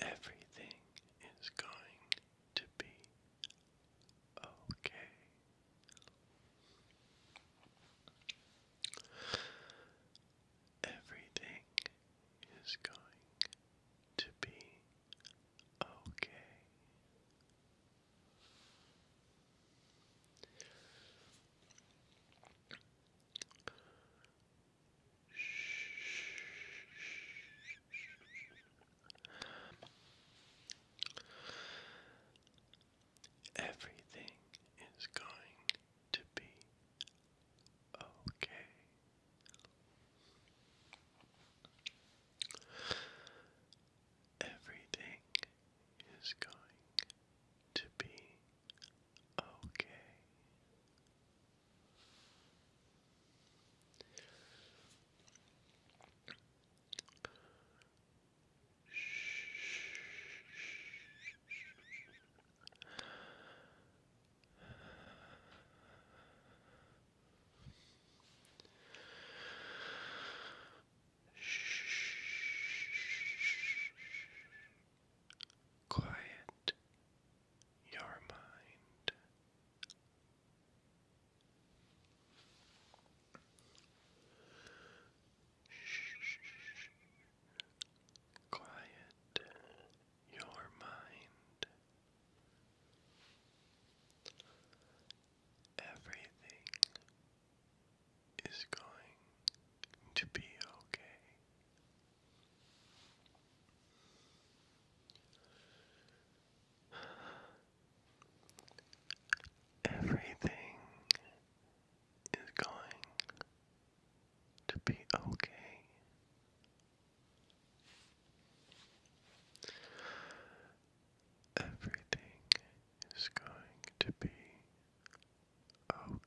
Everything is going to be okay. Everything is going to be okay. Shh. Everything is going to be okay. Everything is going to be okay. Quiet your mind Shh. Quiet your mind. Everything is going to be okay. Everything is going to be okay. Everything is going to be okay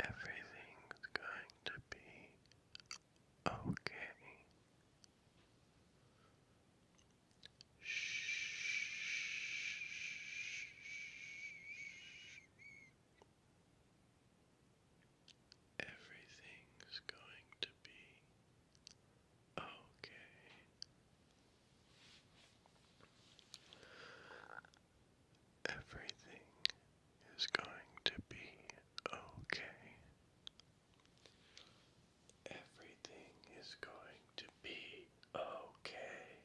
Everything's going to be okay. Everything's going to be okay. Everything is going to be okay. Everything is going to be okay.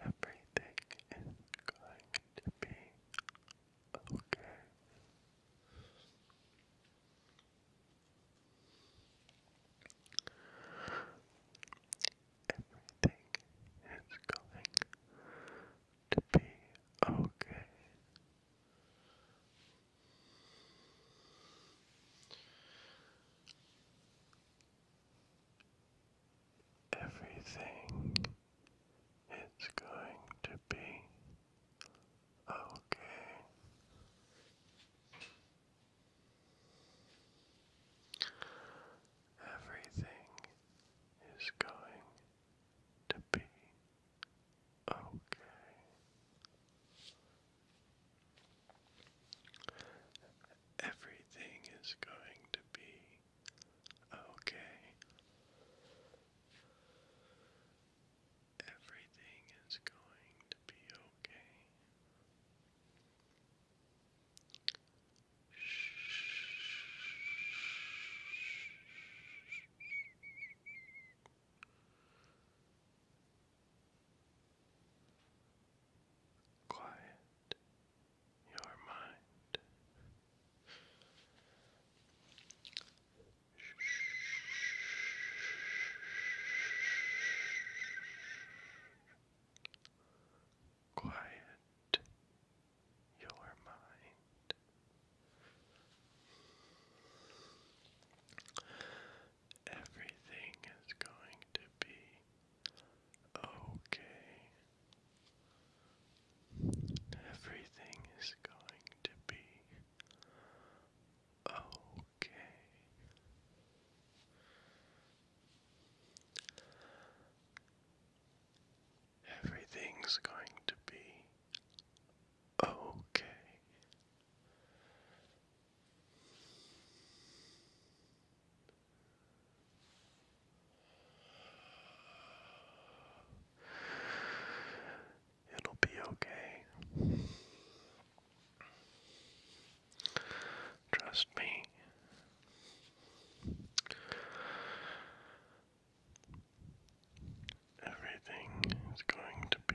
Everything is going to be okay. Everything is going to be okay. Everything is going to be okay. Everything is going to be okay. Everything is going to be okay. Everything is going to be okay. Quiet your mind. Quiet your mind everything is going to be okay. Everything is going to be okay. Everything's going to be okay. It'll be okay. Trust me. Everything is going to be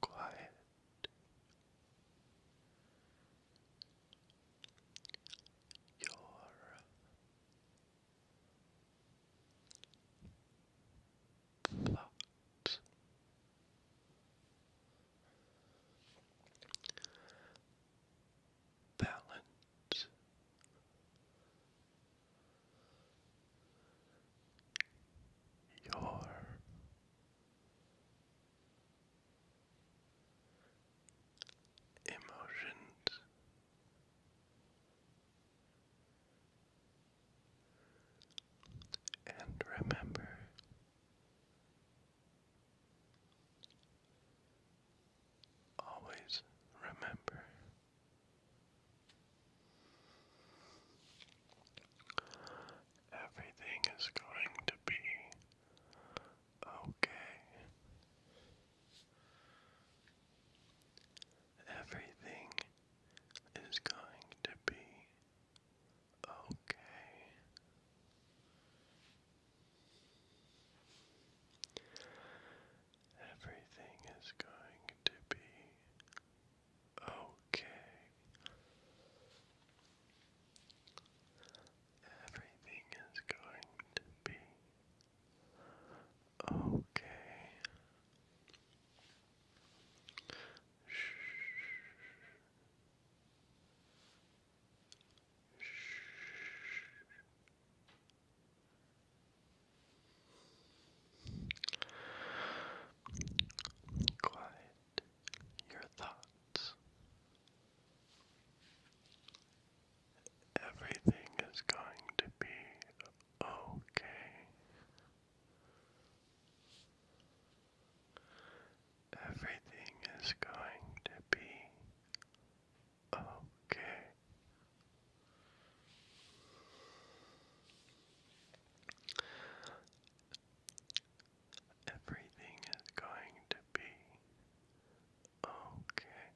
Quiet. Your thoughts balance. Your emotions and remember always remember. Everything is going to be okay. Everything is going to be okay. Everything is going to be okay. Everything is going to be okay. Shh. Shh. Quiet your thoughts. Everything is going to be okay. Everything is going to be Okay. Everything is going to be okay.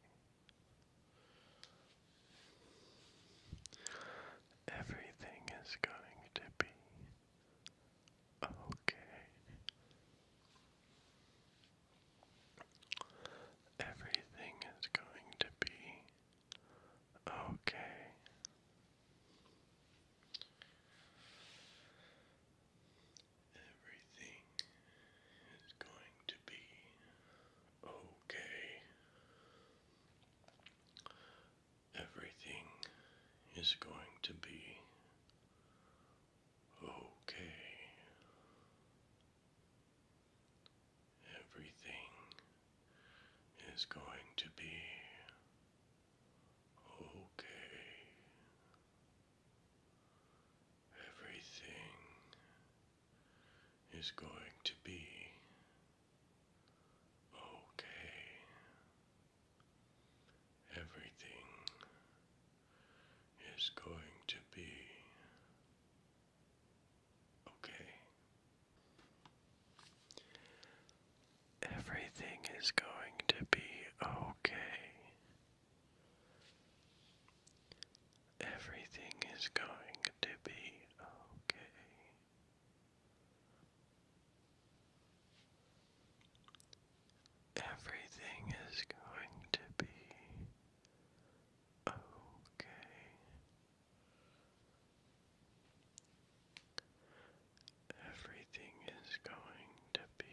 Everything is going to be okay. Everything is going to be okay. Everything is going to be okay. Everything is going to be Okay. Everything is going to be okay. Everything is going to be okay. Everything is going to be okay. Everything is going to be okay. Everything is going to be okay. Everything is going to be Okay. Everything is going to be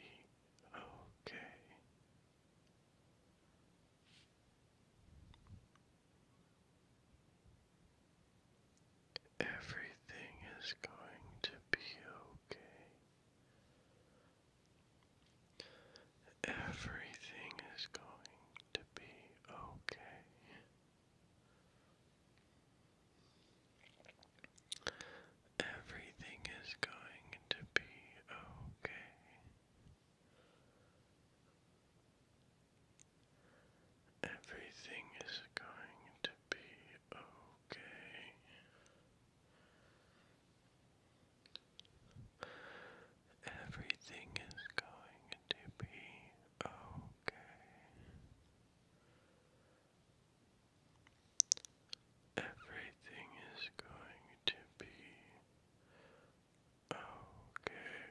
okay. Everything is going to be okay. Everything is going to be okay. Everything is going to be okay. Everything is going to be okay. Everything is going to be okay. Everything is going to be okay.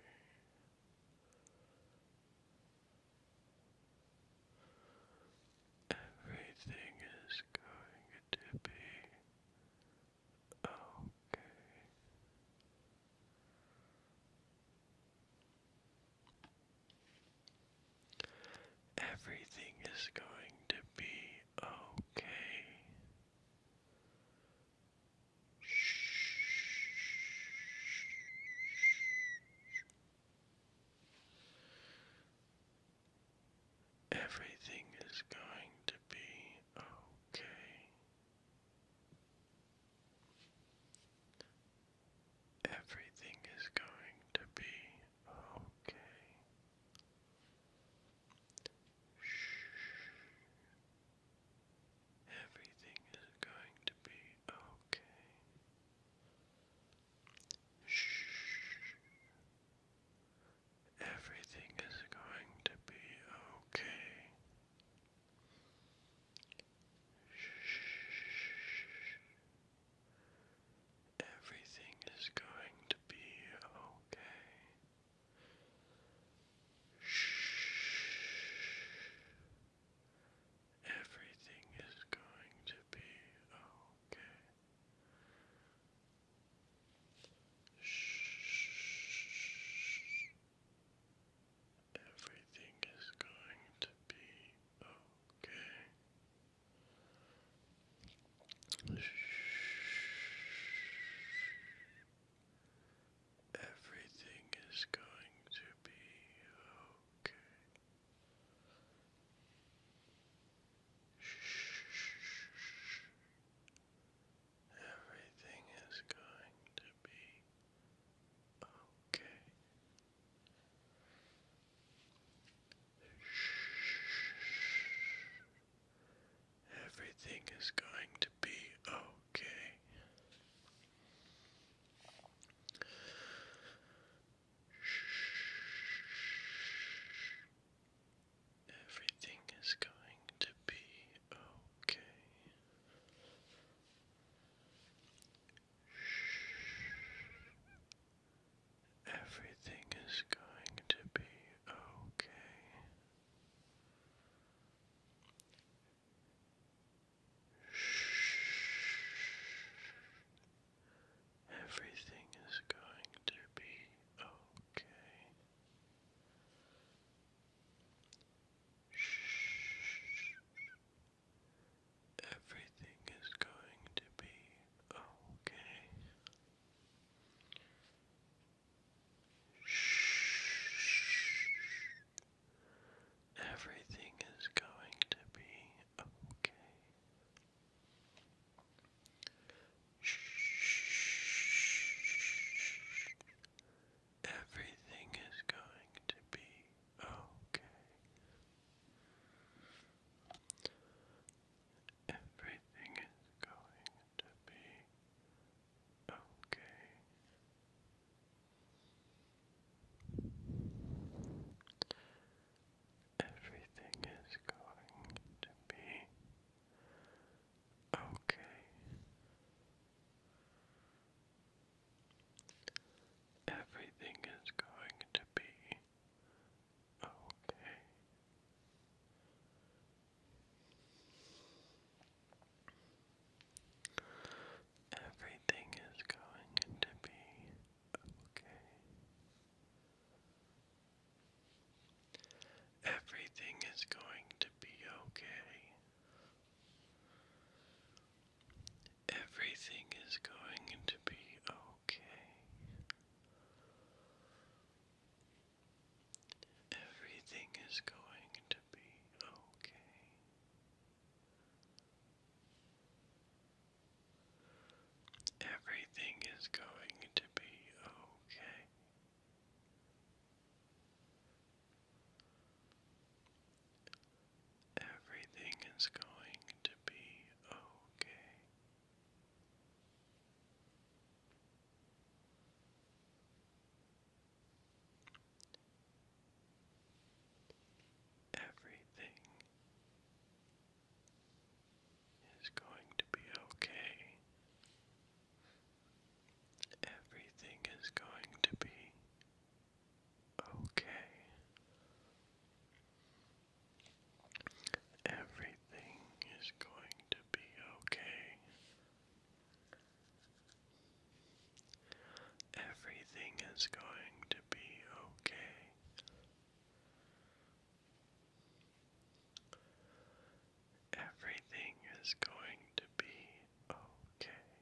Everything is going to be okay. Everything is going to be okay. Everything is going to be okay. Everything is going to be okay. Shh. Everything is going to be okay. Shh. Everything is going to be okay. Shh. Everything is going to be okay. Shh. Everything is going to be okay. Shh. Everything is going to be okay. Everything is going to be okay. Everything is going to be okay. Everything is going to be okay. Everything is going to be okay. Shh. Everything is going to be okay. Shh. Everything is going to be okay. Shh. Everything is going to be okay. Shh. Everything is going to be okay. Shh. Everything is going to be okay. Everything is going to be okay everything is going to be okay. Everything is going to be okay. Everything is going to be okay. Everything is going to be okay. Everything is going to be okay. Everything is going to be okay. Everything is going to be okay. Everything is going to be okay. Everything is going to be okay. Everything is going to be okay. Everything is going to be okay. Everything is going to be okay. Everything is going to be okay.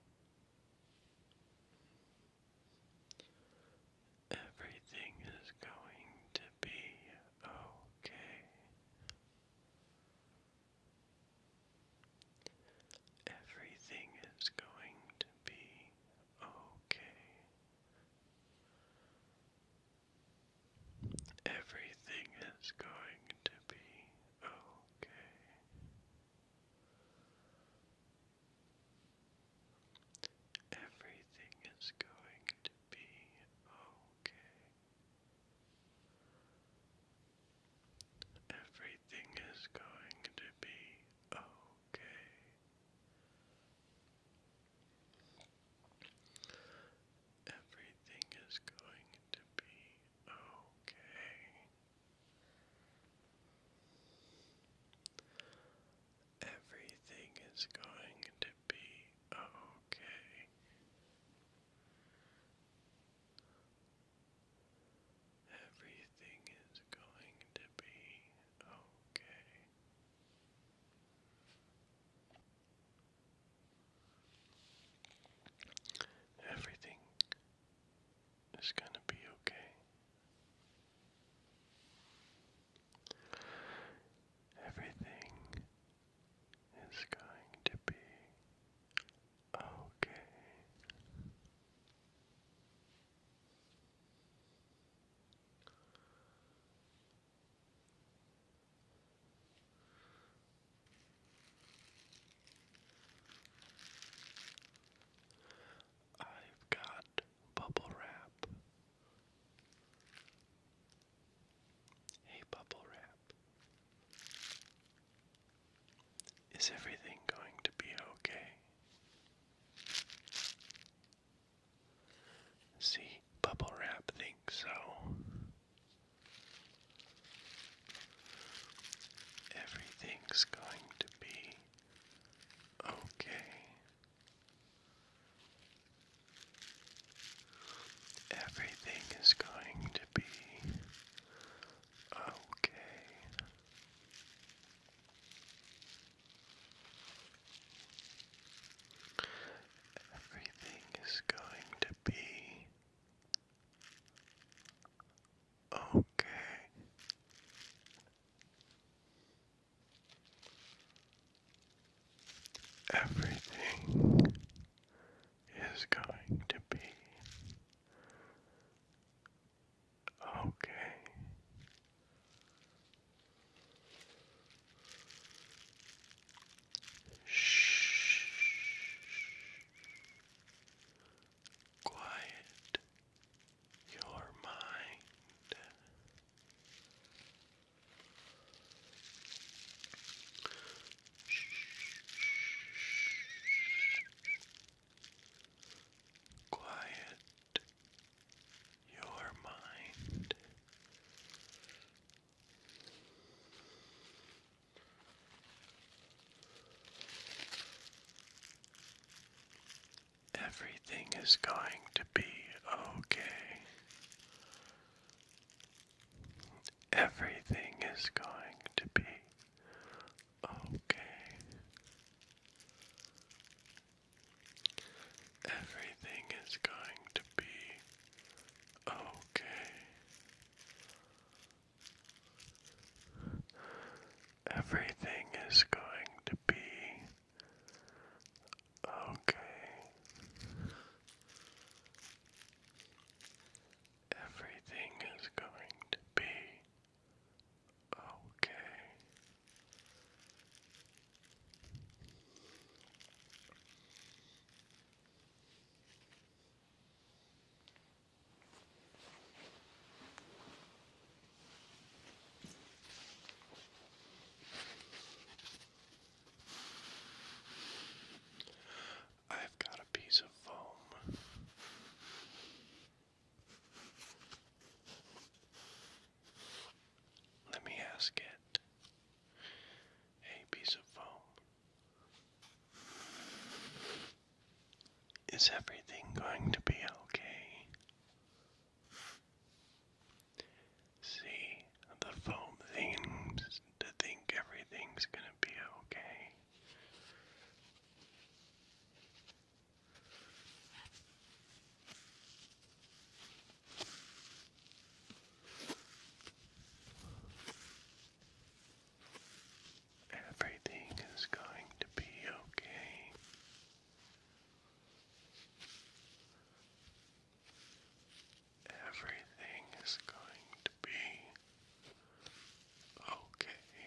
Everything is going to be okay. Everything is going to be okay. Everything is going to be okay. Everything is going to be okay. Everything is going to be okay. Everything is going to be okay. Everything is going to be okay. Everything is going to be okay. Everything is going to be okay. Everything is going to be okay. I've got bubble wrap. Hey, bubble wrap. Is everything going to be okay? See, bubble wrap thinks so. Everything's going to be okay. Everything is going to be okay. Everything is going to be okay. Everything is going to be okay. Shh. Quiet your mind. Quiet your mind. Everything is going to be okay. Everything is going to be okay. Everything is going to be okay. Everything is going to be okay. Everything is going to be okay. I've got a piece of foam. Let me ask it a piece of foam. Is everything going to be okay? See, the foam seems to think everything's gonna be okay. Everything is going to be okay. Everything is going to be okay.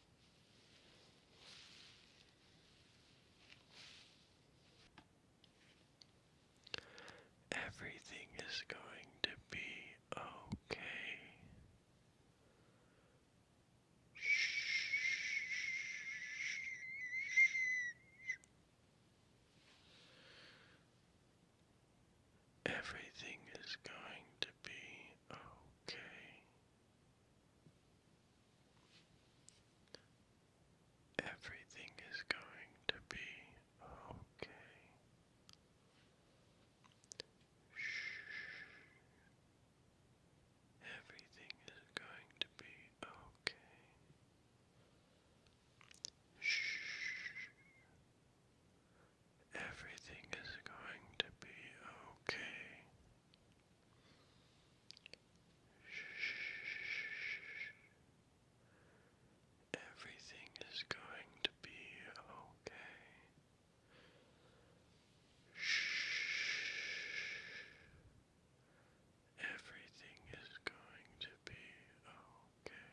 Everything is going to be okay. Everything is going to be okay. Everything is going to be okay. Shh. Everything is going to be okay. Shh. Everything is going to be okay. Everything is going to be okay. Everything is going to be okay.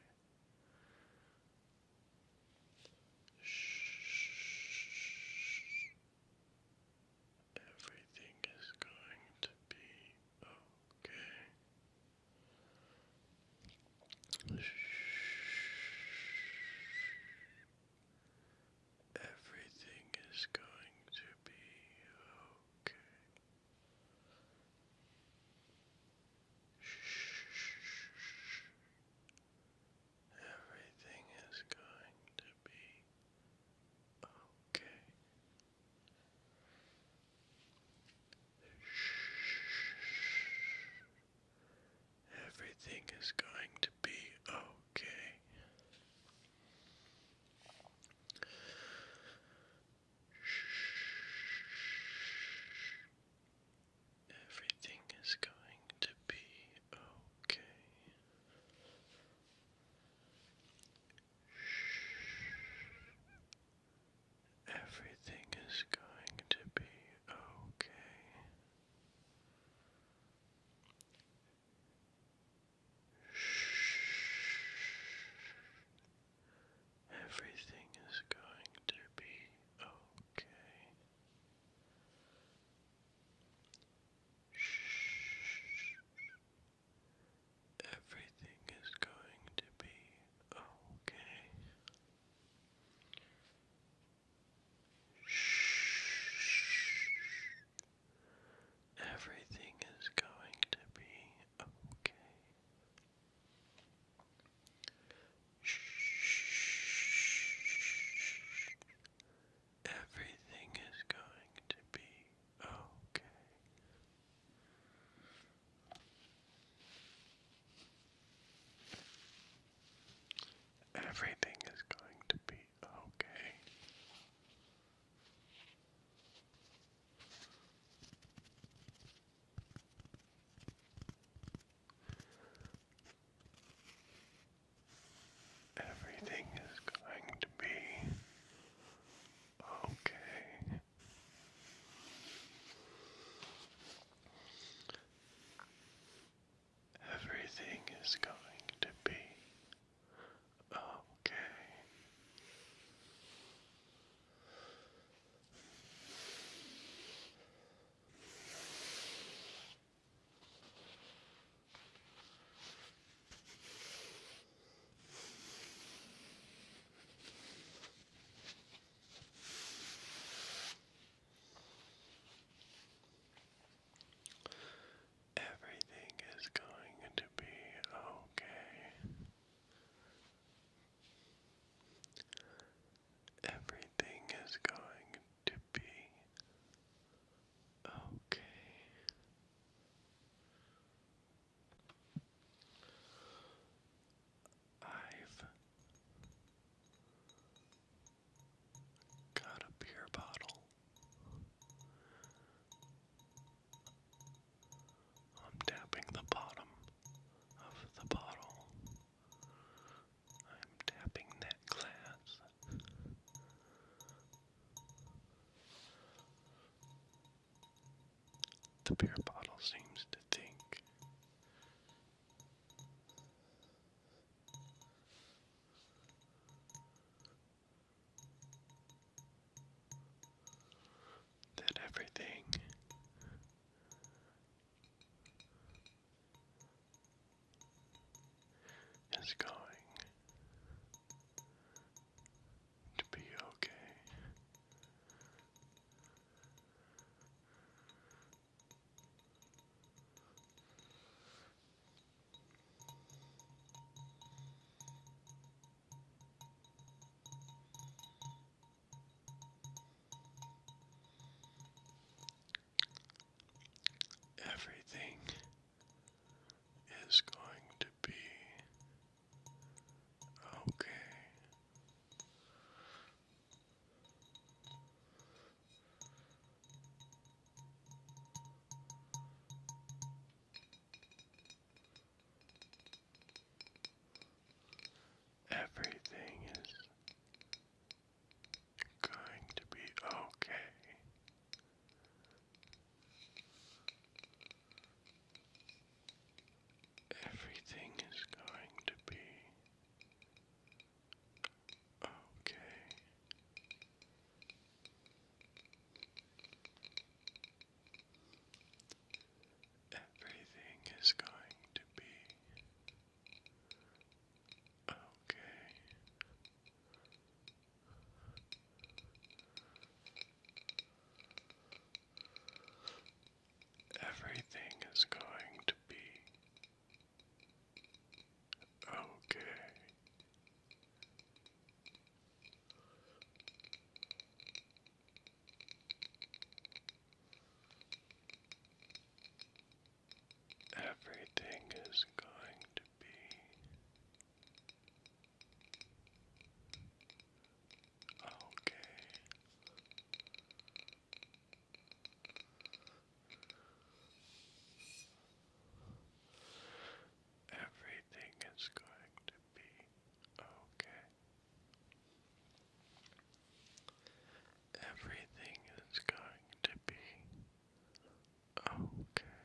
Everything is going to be okay. Shh. Everything is going to be okay. Shh. Everything is going to be okay. Shh. Everything is going to be okay. Shh. Everything is going to be okay. Everything is going to be okay. Everything is going to be okay. Shh. Everything is going to be okay. Everything is going to be okay. Everything is going to be okay. Everything is going to be okay. Everything is going to be okay. Everything is going to be okay. Everything is going to be okay. Everything is going to be okay. I've got a beer bottle. I'm tapping the bottom of the bottle I'm tapping that glass. The beer bottle seems to think. That everything is going to be okay everything is going to be okay. Everything is going to be okay. Everything is going to be okay. Everything is going to be Okay. Everything is going to be okay everything is going to be okay. Everything is going to be okay. Everything is going to be Okay.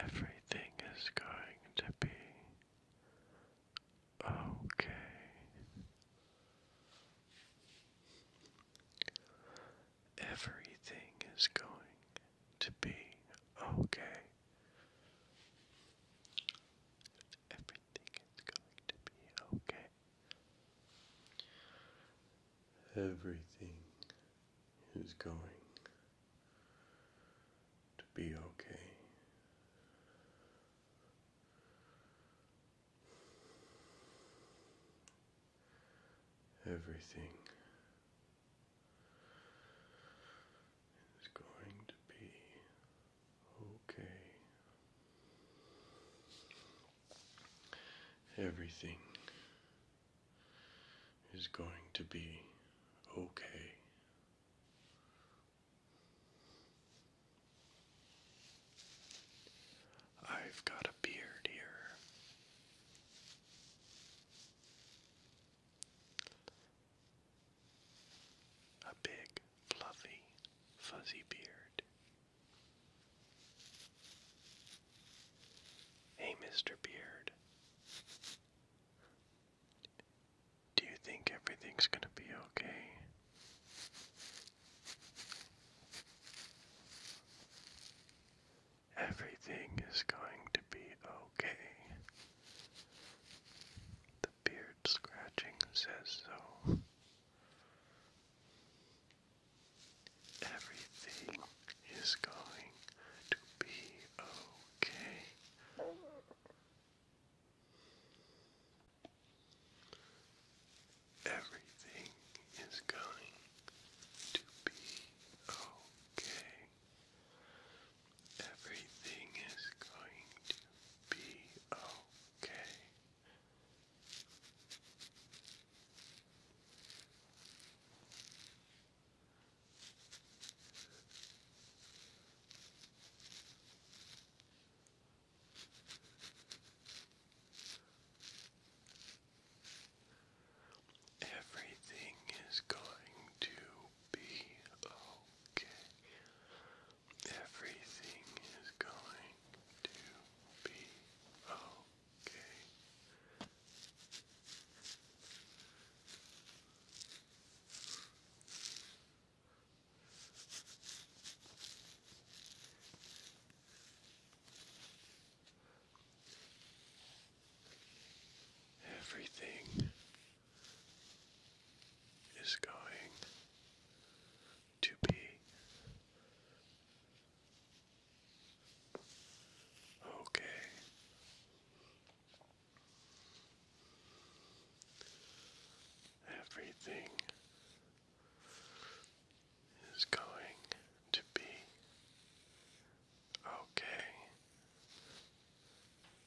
Everything is going to be okay. Everything is going to be okay think it's going to be okay. Everything is going to be okay. Everything is going to be Okay. Everything is going to be okay. I've got a beard here a big, fluffy, fuzzy beard. Hey, Mr. Beard. Do you think everything's gonna be okay? Everything is going to be okay beard scratching says so. Everything is going to be okay. Everything is going to be okay. Everything is going to be Okay. Everything is going to be okay. Everything is going to be okay. Everything is going to be okay. Everything is going to be okay.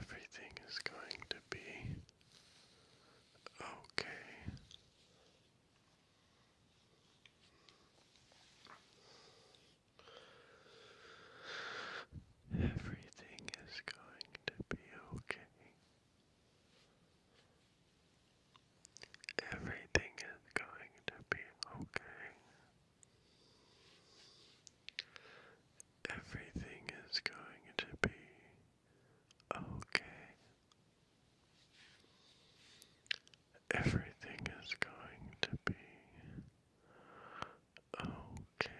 Everything is going to be okay. Everything is going to be okay. Everything is going to be okay. Everything is going to be okay. Everything is going to be okay.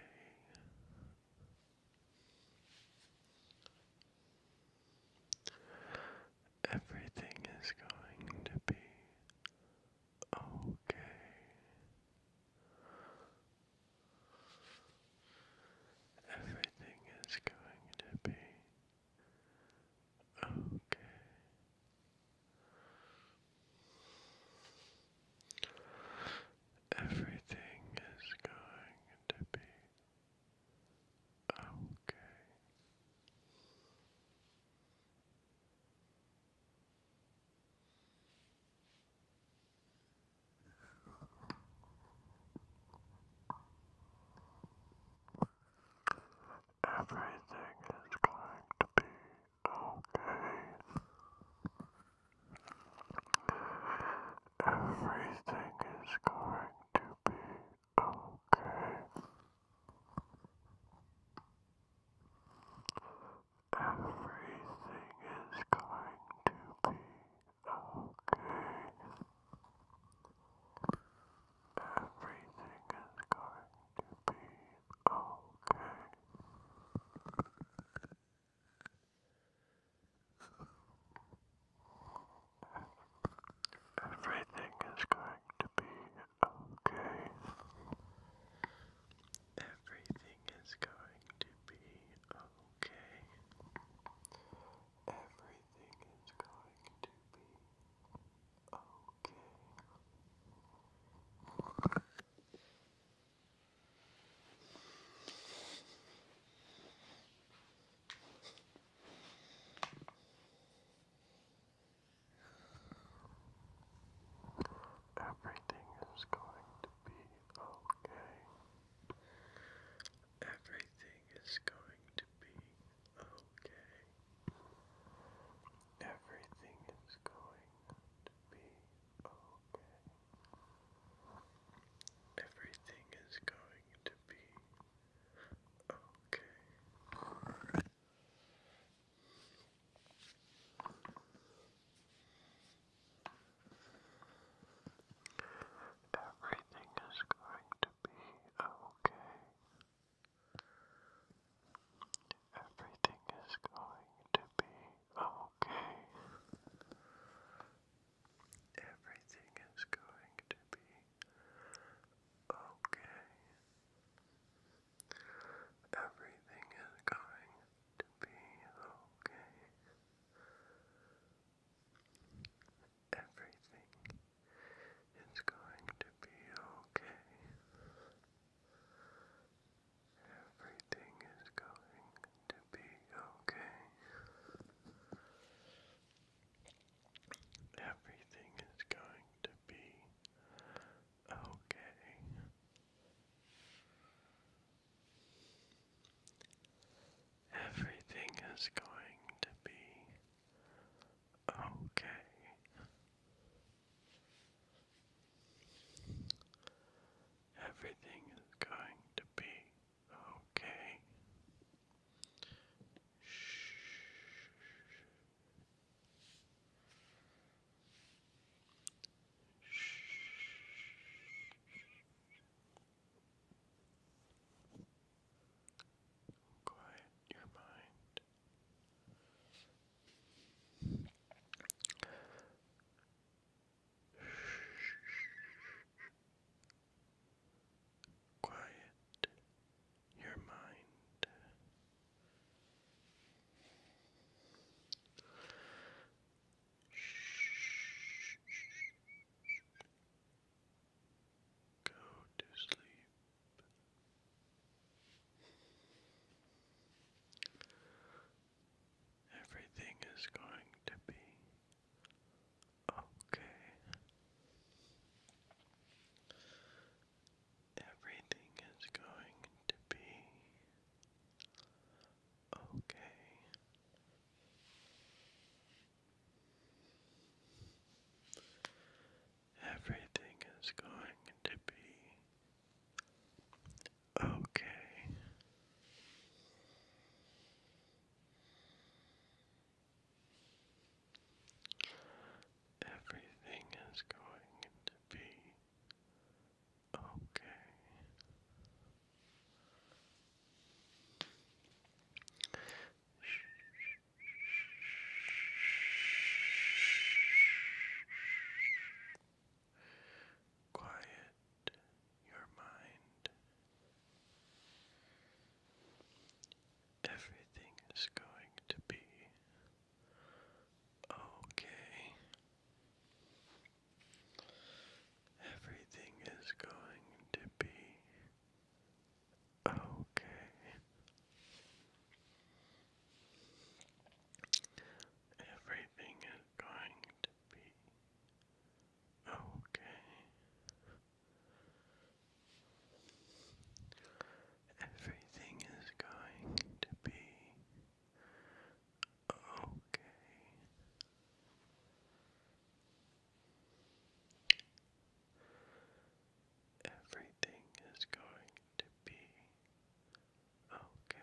Everything is going to be okay. Everything is going to be okay. Everything is going to be Okay. Everything is going to be okay. Everything is going to be okay. Everything is going to be okay. Everything is going to be okay. Everything is going to be okay. Everything is going to be okay. Everything is going to be okay. Everything is going to be okay. Everything is going to be okay. Everything is going to be okay. Everything is going to be Okay. Everything is going to be okay. Everything is going to be okay. Everything is going to be okay. Everything is going to be okay. Everything is going to be okay. Everything is going to be okay. Everything is going to be okay. Everything is going to be okay. Everything is going to be Okay. Shh. Quiet your mind. Quiet your mind. Go to sleep. Everything is going to be Okay. Everything is going to be okay. Everything is going to be okay. Everything is going to be okay. Quiet your mind. Everything is going to be okay. Everything is going to be okay. Everything is going to be okay. Everything is going to be okay. Everything is going to be okay.